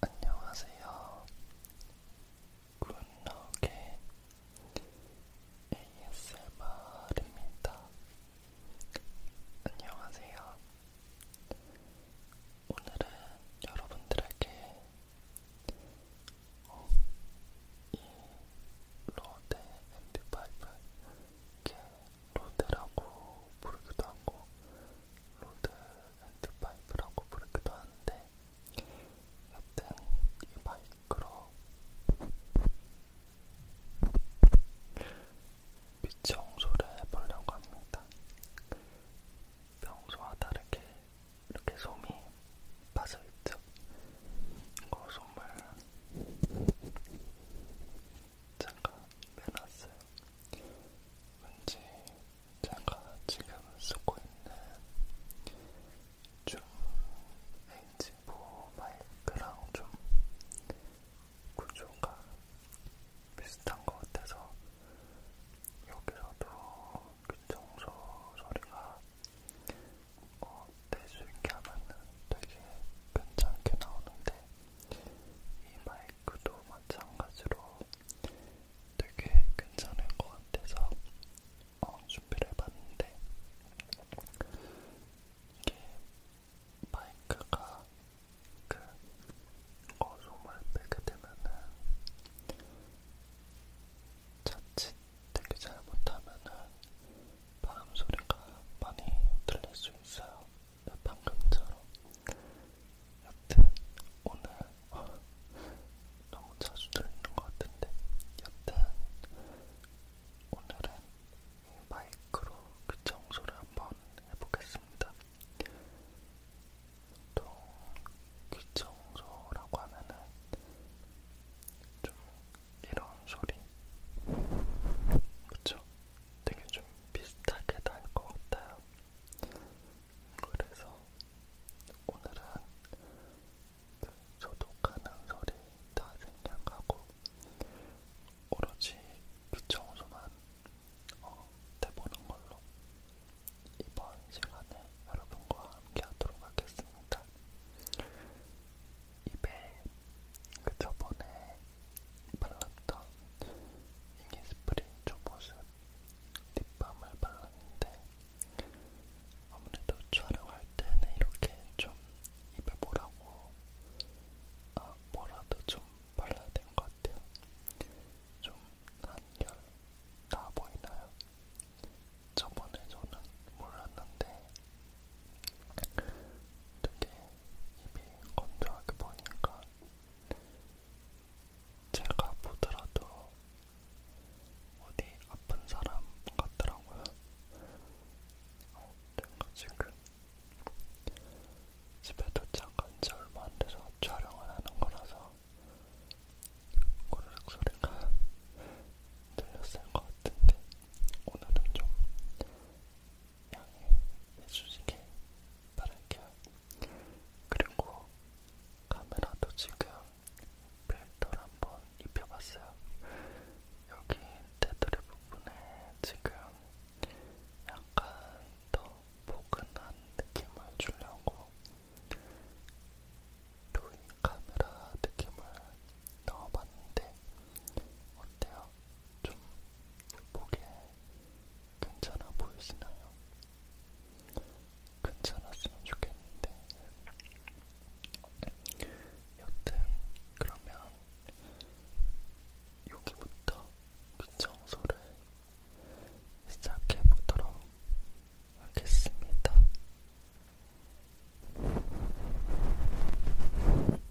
안녕하세요. 굿럭의 ASMR입니다. 안녕하세요. 오늘은 여러분들에게 어, 이 로데 앤드 파이브 이게 로데라고 부르기도 하고 로드 앤드 파이프라고 부르기도 하는데 여튼 이 마이크로 귀 청소를 해보려고 합니다. 평소와 다르게 이렇게 솜이 빠져있죠. 이거 솜을 잠깐 빼놨어요. 왠지 제가 지금 쓰고 있는 줌 H4 마이크랑 좀 구조가 비슷한 것 같아서 여기서도 귀청소 소리가 어, 낼수 있게 하면 되게 괜찮게 나오는데 이 마이크 그도 마찬가지로 되게 괜찮을 것 같아서 어, 준비를 해봤는데 이게 마이크가 그 어소음을 빼게 되면은 자칫 되게 잘못하면은 바람 소리가 많이 들릴 수 있어요. 방금처럼. 여튼 오늘 너무 자주 들리는 것 같은데 여튼 오늘은 마이크로 귀청소를 한번 해보겠습니다. 또 귀청소라고 하면은 좀 이런 소리, 그쵸? 되게 좀 비슷하게 날것 같아요. 그래서 오늘은 그 소독하는 소리 다 생략하고 오로지 귀청소만 어, 해보는 걸로 이번 시간에 여러분과 함께 하도록 하겠습니다. 입에 그 저번에 발랐던 이니스프린 초보습 립밤을 발랐는데 아무래도 촬영할 때는 이렇게 좀 입에 뭐라고 아 뭐라도 좀 발라야 되는 것 같아요. 좀 한결 나 보이나요? 저번에 저는 몰랐는데 되게 입이 건조하게 보니까 제가 보더라도 어디 아픈 사람 같더라고요. 어, 내가 지금 집에 도착한 지 얼마 안 돼서 촬영을 하는 거라서 꼬르륵 소리가 들렸을 것 같은데 오늘은 좀 양해해주시길 바랄게요. 그리고 카메라도 지금 필터를 한번 입혀봤어요. 여기 테두리 부분에 지금 약간 더 포근한 느낌을 주려고 루이 카메라 느낌을 넣어봤는데 어때요? 좀 보기에 괜찮아 보이시나요? 괜찮았으면 좋겠는데 여튼 그러면 여기부터 귀청소를 시작해보도록 하겠습니다.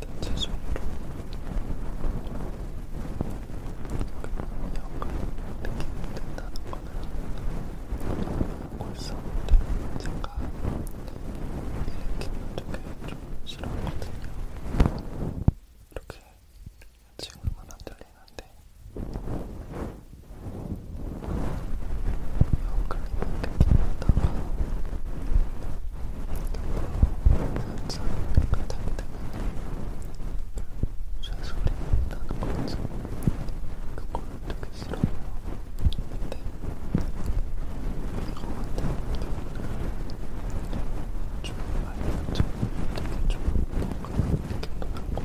단체 어, 손으로 영감을 느끼게 된다는 거는 골수한테 제가 일으키는 쪽에 좀 싫었거든요. 이렇게 지금은 안 들리는데 영감이 느끼다가 사람들과 다기 때문에 쇠소리 나는 거죠. 그걸 되게 싫어해요. 근데 이거 같은 경우는 좀 많이 맞죠. 되게 좀 뭔가 느낌도 나고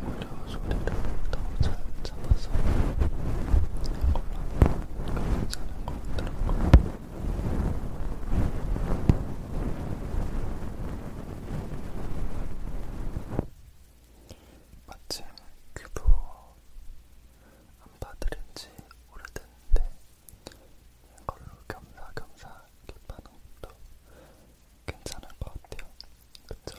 오히려 소리를 더잘 찾아서 엄마는 괜찮은 것 같더라고. 마침 큐브 안 받으린 지 오래됐는데 이걸로 겸사겸사 킵하는 것도 괜찮을 것 같아요. 그쵸?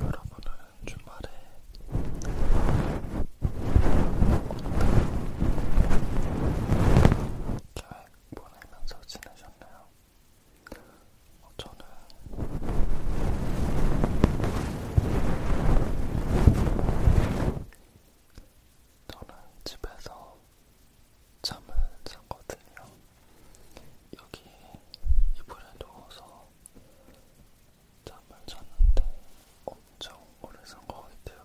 여러분은 주말에 어떤 계획 보내면서 지내셨나요? 어, 저는 저는 집에서 잠을 잤거든요. 여기 이불에 누워서 잠을 잤는데 엄청 오래 산것 같아요.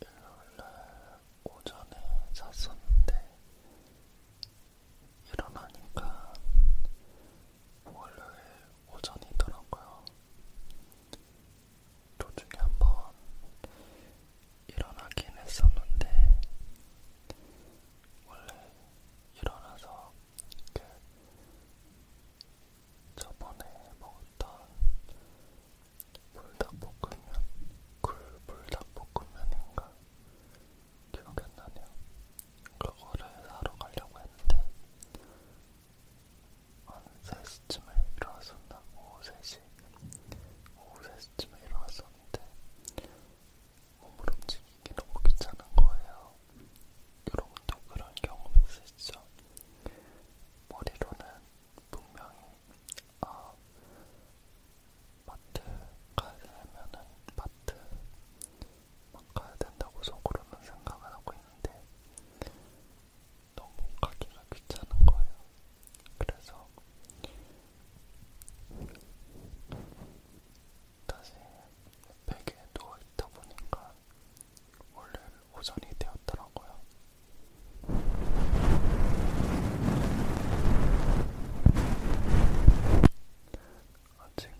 일요일날 오전에 잤었는데 일어나니까 월요일 오전이더라고요. 도중에 한번 일어나긴 했었는데 원래 일어나서 이렇게 저번에 먹었던 불닭볶음면, 굴불닭볶음면인가 기억이 안 나네요. 그거를 사러 가려고 했는데 한 3시쯤에 일어났었나? 오후 3시? 오후 3시쯤에 일어났었는데 몸을 움직이기 너무 귀찮은 거예요. 여러분도 그런 경험 있으시죠? 머리로는 분명히 아 마트 가야 되면은 마트 막 가야 된다고 속으로는 생각을 하고 있는데 너무 가기가 귀찮은 거예요. 그래서 다시 베개에 누워있다 보니까 원래는 오전이 되었더라고요. 어, 지금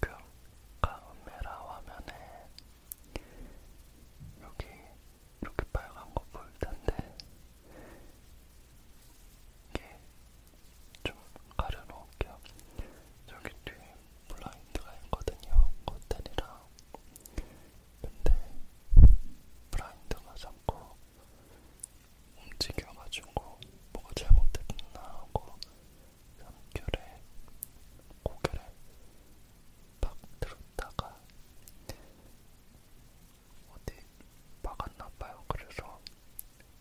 카메라 화면에 여기 이렇게 빨간 거 보일 텐데 이게 좀 가려놓을게요. 저기 뒤에 블라인드가 있거든요. 커튼이랑. 근데 블라인드가 자꾸 움직여가지고 뭐가 잘못됐나 하고 삼결에 고개를 팍 들었다가 어디 막았나봐요. 그래서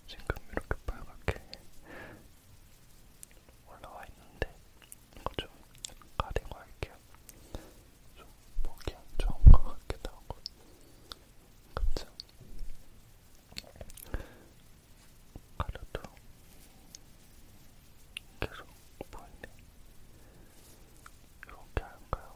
지금 이렇게 빨갛게 올라와 있는데 이거 좀 가리고 할게요. 좀 보기 안 좋은 것 같기도 하고. 그쵸? 가려도 계속 보이네. 이렇게 할까요?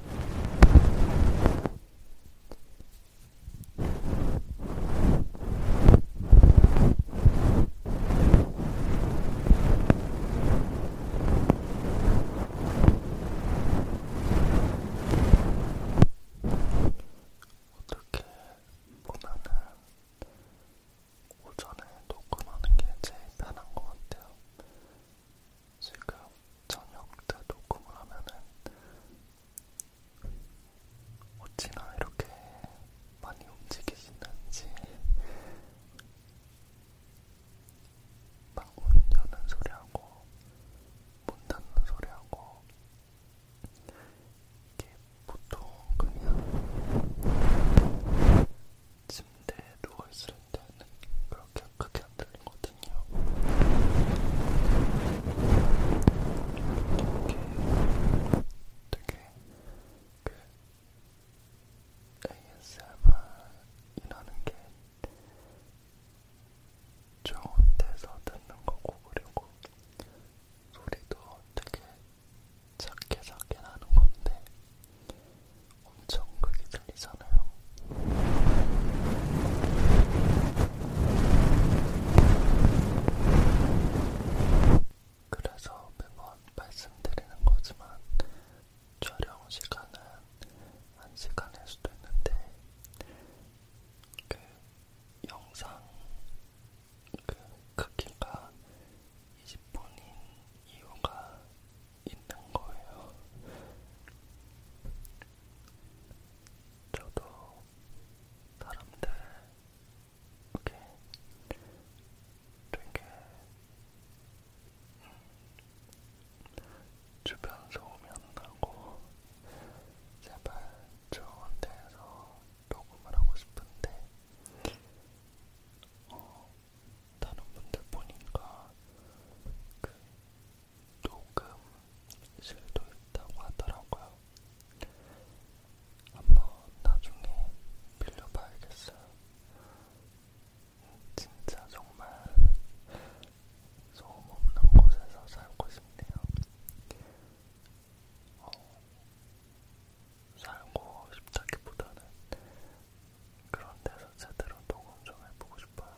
어떻게 보면은 오전에 녹음하는 게 제일 편한 것 같아요. 지금 저녁 때 녹음을 하면은 어찌나 이렇게 많이 움직이시는지 방문 여는 소리하고 문 닫는 소리하고 이게 보통 그냥 침대에 누워있을 때는 네, 그렇게 크게 안 들리거든요. 이게 되게 그 ASMR이라는 게 좋은 데서 듣는 거고 그리고 소리도 되게 작게 작게 나는 건데 엄청 크게 들리잖아요. 그래서 매번 말씀드리는 거지만 촬영 시간은 한 시간일 수도 있는데 그 영상 그 크기가 20분인 이유가 있는 거예요. 저도 사람들 이렇게 되게 주변 소음이 안 나고 제발 저한테서 녹음을 하고 싶은데 어, 다른 분들 보니까 그 녹음실도 있다고 하더라고요. 한번 나중에 빌려봐야겠어요. 진짜 정말 소음 없는 곳에서 살고 싶네요. 어, 살고 싶다기보다는 그런 데서 제대로 녹음 좀 해보고 싶어요.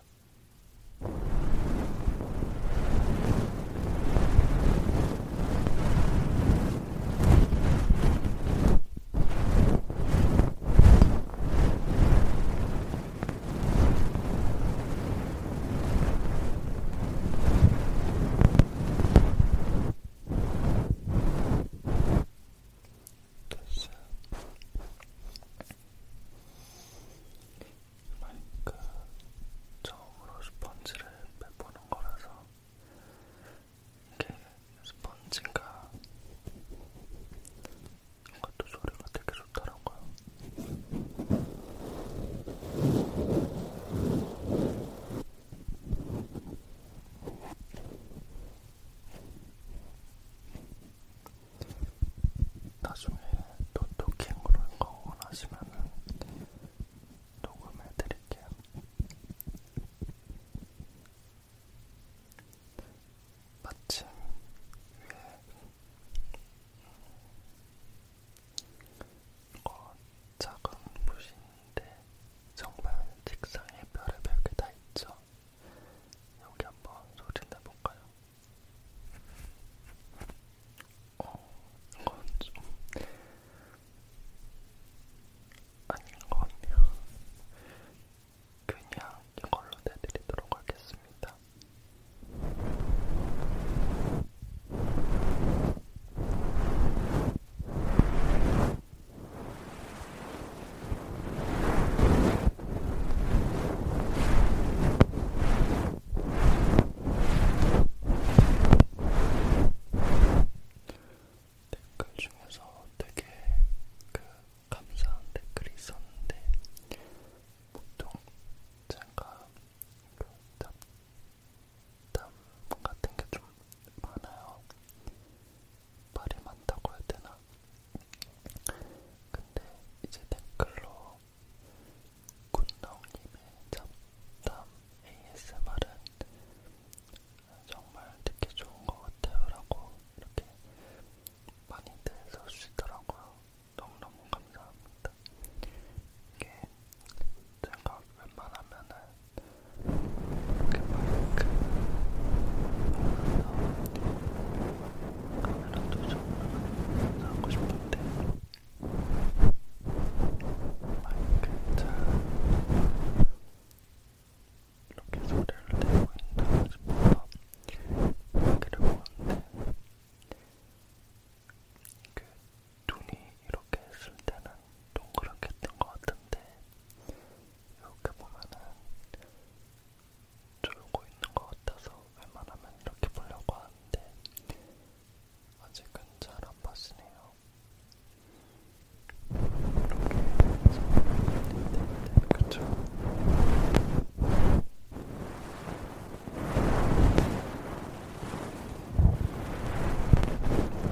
됐어요. 그러니까 처음으로 스펀지를 빼보는 거라서 이게 스펀지가 이것도 소리가 되게 좋더라고요. 나중에 노토킹으로 거 원하시면은 녹음해 드릴게요. 마침 위에 어, 작은 무신인데 정말 책상에 별의별 게다 있죠. 테니까 여기 한번 소리 내볼까요? 어, 이건 좀 아닌 것 같네요. 그냥 이걸로 내드리도록 하겠습니다. 댓글 중에서 되게 그 감사한 댓글이 있었는데 보통 제가 그 잡담 같은 게 좀 많아요. 말이 많다고 해야 되나? 근데 이제 댓글로 군덩님의 잡담 ASMR은 정말 듣기 좋은 것 같아요 라고 이렇게 많이들 써주시더라고요. 너무너무 감사합니다. 이게 제가 웬만하면은 그만큼 카메라도 정말 하고 싶은데 마이크 잘 이렇게 소리를 내고 있나 싶어서 마이크를 보는데 그 눈이 이렇게 했을 때는 동그랗게 했던 것 같은데 이렇게 보면은 졸고 있는 것 같아서 웬만하면 이렇게 보려고 하는데 아직은 잘 안 봤으네요. 이렇게 해서 네, 그쵸?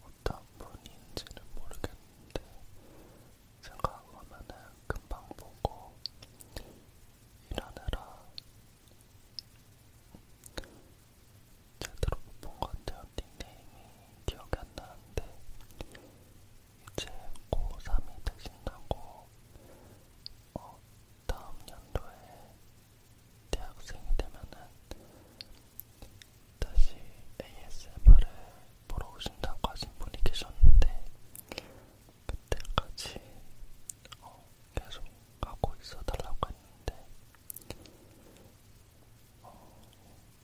어떤 분인지는 모르겠는데 생각하면은 금방 보고 일하느라 제대로 못 본 것 같아요. 닉네임이 기억이 안 나는데 이제 고3이 되신다고 어, 다음 연도에 대학생이 되면은 다시 ASMR을 보러 오신다고 하신 분이 계셨는데 그때까지 어, 계속 하고 있어달라고 했는데 어,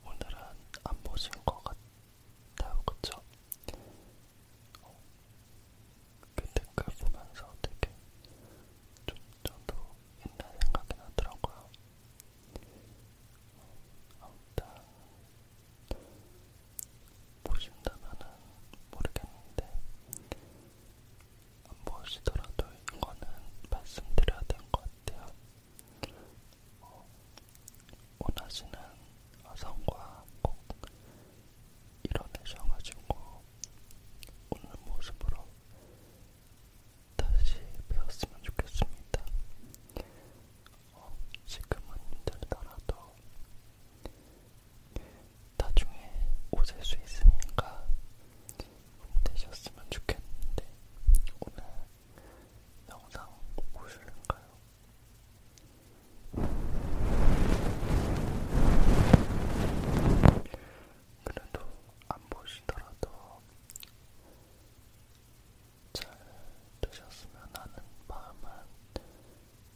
오늘은 안 보신 것 같아요, 그쵸? 어, 그 댓글 보면서 되게 좀 저도 옛날 생각이 나더라고요. 아무튼 보신다면은 모르겠는데 안 보시더라도 이거는 말씀드려야 될 것 같아요. 어, 원하시는 화성과 꼭 이뤄내셔가지고 웃는 모습으로 다시 배웠으면 좋겠습니다. 어, 지금은 힘들더라도 나중에 오실 수 있으니까 힘내셨으면 좋겠는데 오늘 영상 보실까요? 그래도 안 보시더라도 잘 되셨으면 하는 마음만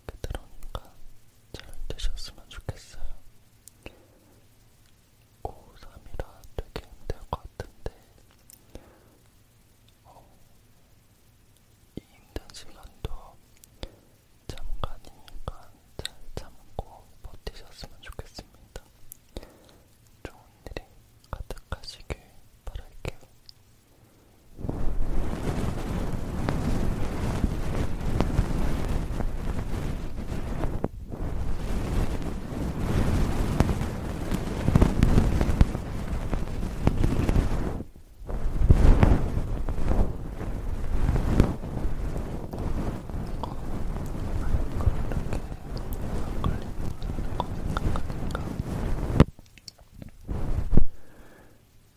그대로니까 잘 되셨으면 좋겠어요. 고3이라 되게 힘들 것 같은데 어, 이 힘든 시간도 잠깐이니까 잘 참고 버티셨으면 좋겠습니다. 좋은 일이 가득하시길 바랄게요.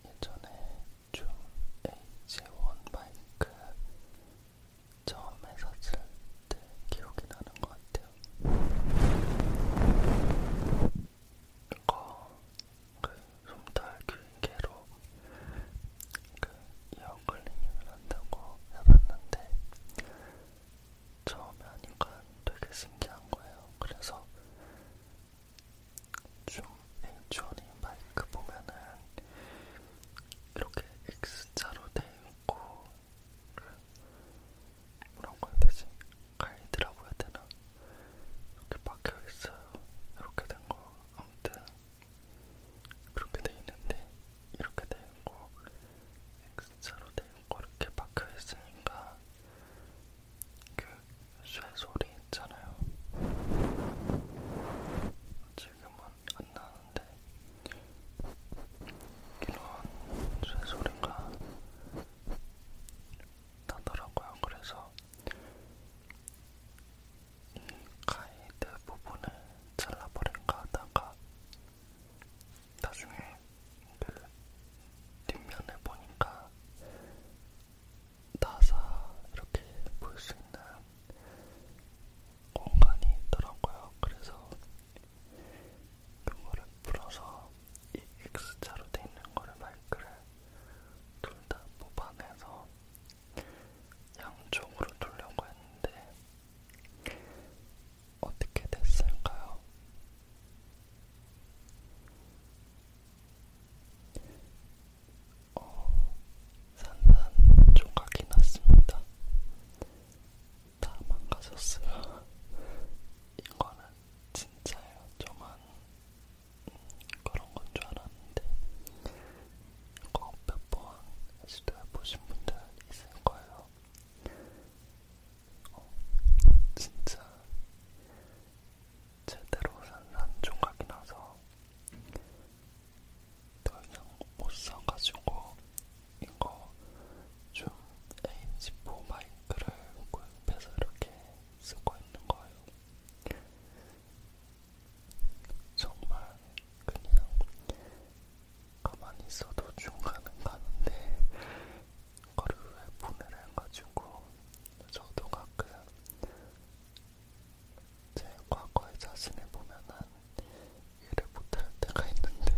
예전에 중 H1 마이크 처음에 샀을 때 기억이 나는 것 같아요. 이거 그 솜털 귀 개로 그 이어클링을 한다고 해봤는데 처음에 하니까 되게 신기한 거예요. 그래서 좀 H1이 마이크 보면은 이렇게 X자로 돼있고 뭐라고 해야 되지? 가이드라고 해야 되나? 이렇게 박혀있어요. 이렇게 된 거 아무튼 그렇게 돼 있는데 이렇게 돼 있고 X자로 돼 있고 이렇게 박혀 있으니까 그 쇠소리 있잖아요. 지금은 안 나는데 이런 쇠소리가 나더라고요. 그래서 가이드 부분을 잘라버릴까 하다가 나중에 그 뒷면을 보니까 나사 이렇게 볼 수 있는 공간이 있더라고요. 그래서 그거를 풀어서 이 X자로 돼 있는 거를 마이크를 둘 다 뽑아내서 양쪽으로 돌려고 했는데 어떻게 됐을까요? 어, 산산 조각이 났습니다. 다 망가졌어요. 이거는 진짜예요. 저만 음, 그런 건 줄 알았는데 꼭몇번 시도해보신 분들 있을 거예요. 어, 진짜 제대로 산 산종각이 나서 더 이상 못 사가지고 이거 좀 AM4 마이크를 구입해서 이렇게 쓰고 있는 거예요. 정말 그냥 가만히 있어도 중간은 가는데 거루에 보내라 해가지고 저도 가끔 제 과거의 자신을 보면은 이해를 못할 때가 있는데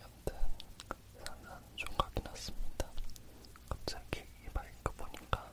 여튼 산산 조각이 났습니다. 갑자기 이 마이크 보니까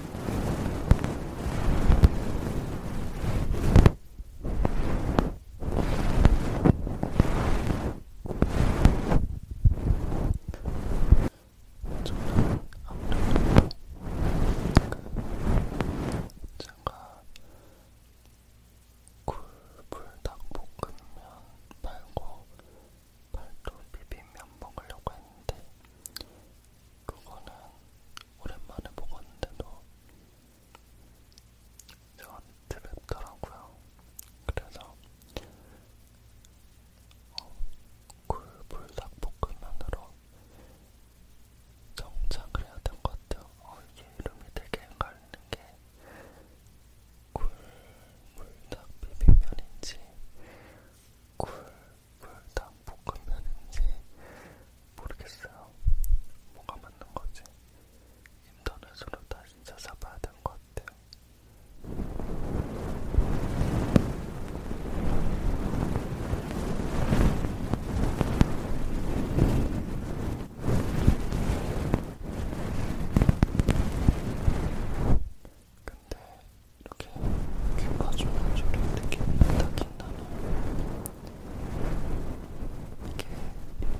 저는 아무래도 그 제가 굴불 닭볶음면 말고 팔도 비빔면 먹으려고 했는데 그거는 오랜만에 먹었는데도 저한테 맵더라고요. 그래서 어, 굴불닭볶음면으로 정착을 해야 될것 같아요. 어, 이게 이름이 되게 헷갈리는 게 굴불닭 비빔면인지 굴 불닭 볶음면인지 모르겠어요. 뭐가 맞는 거지? 인터넷으로 다시 찾아봐야 될것 같아요. 근데 이렇게 귀 파주는 소리 느낌이 딱 있나요? 이게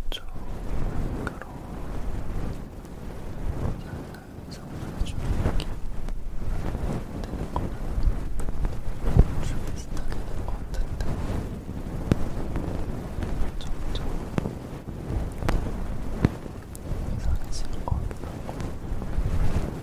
이쪽 가로 약간 성분해주는 느낌 되는 거는 좀 비슷하게 된것 같은데 점점 이상해지는 것 같더라고.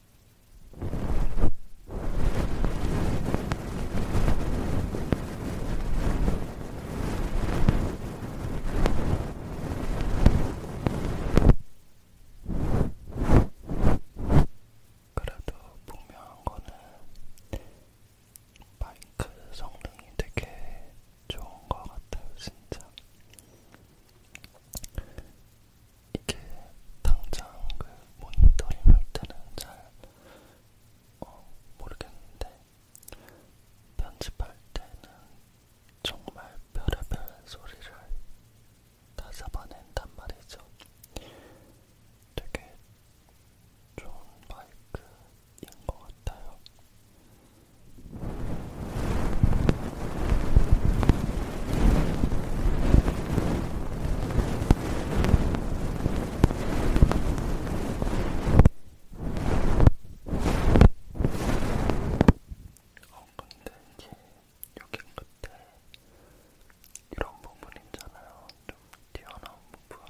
그래도 분명한 거는 마이크 성능이 되게 좋은 것 같아요, 진짜. 이게 당장 그 모니터링 할 때는 잘 어, 모르겠는데 편집할 때는 정말 별의별 소리를 다 잡아낸단 말이죠. 되게 좋은 마이크인 것 같아요. 어 근데 이제 여기 끝에 이런 부분 있잖아요. 좀 튀어나온 부분.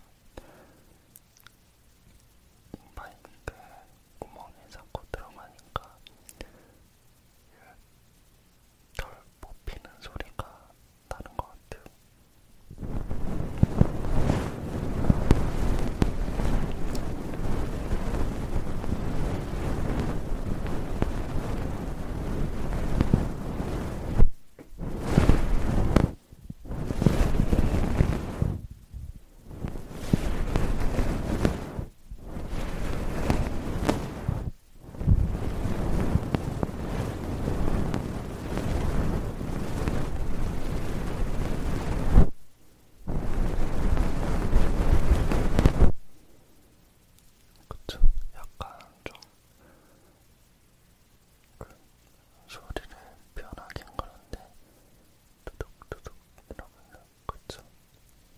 파이프가 구멍에 자꾸 들어가니까 덜 뽑히는 소리가 나는 것 같아요. 그쵸? 약간 좀그 소리를 편하게 걸었는데 두둑두둑 이러면은 그쵸?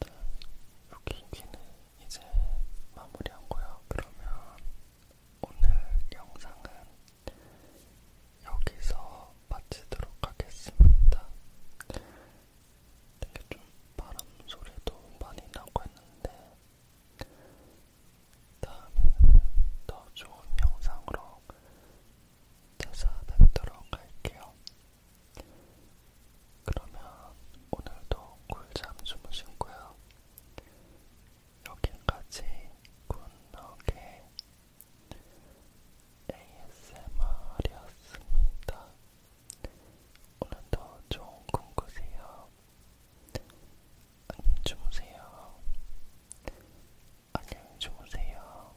일단 여기 귀는 이제 마무리한거야 그러면 오늘 영상은 여기서 마치도록 하겠습니다. 되게 좀 바람 소리도 많이 나고 했는데 다음에는 더 좋은 영상으로 찾아뵙도록 할게요. 그러면 오늘도 꿀잠 주무시고요. 여기까지 굿너게 ASMR이었습니다. 오늘도 좋은 꿈 꾸세요. 안녕히 주무세요. 안녕히 주무세요.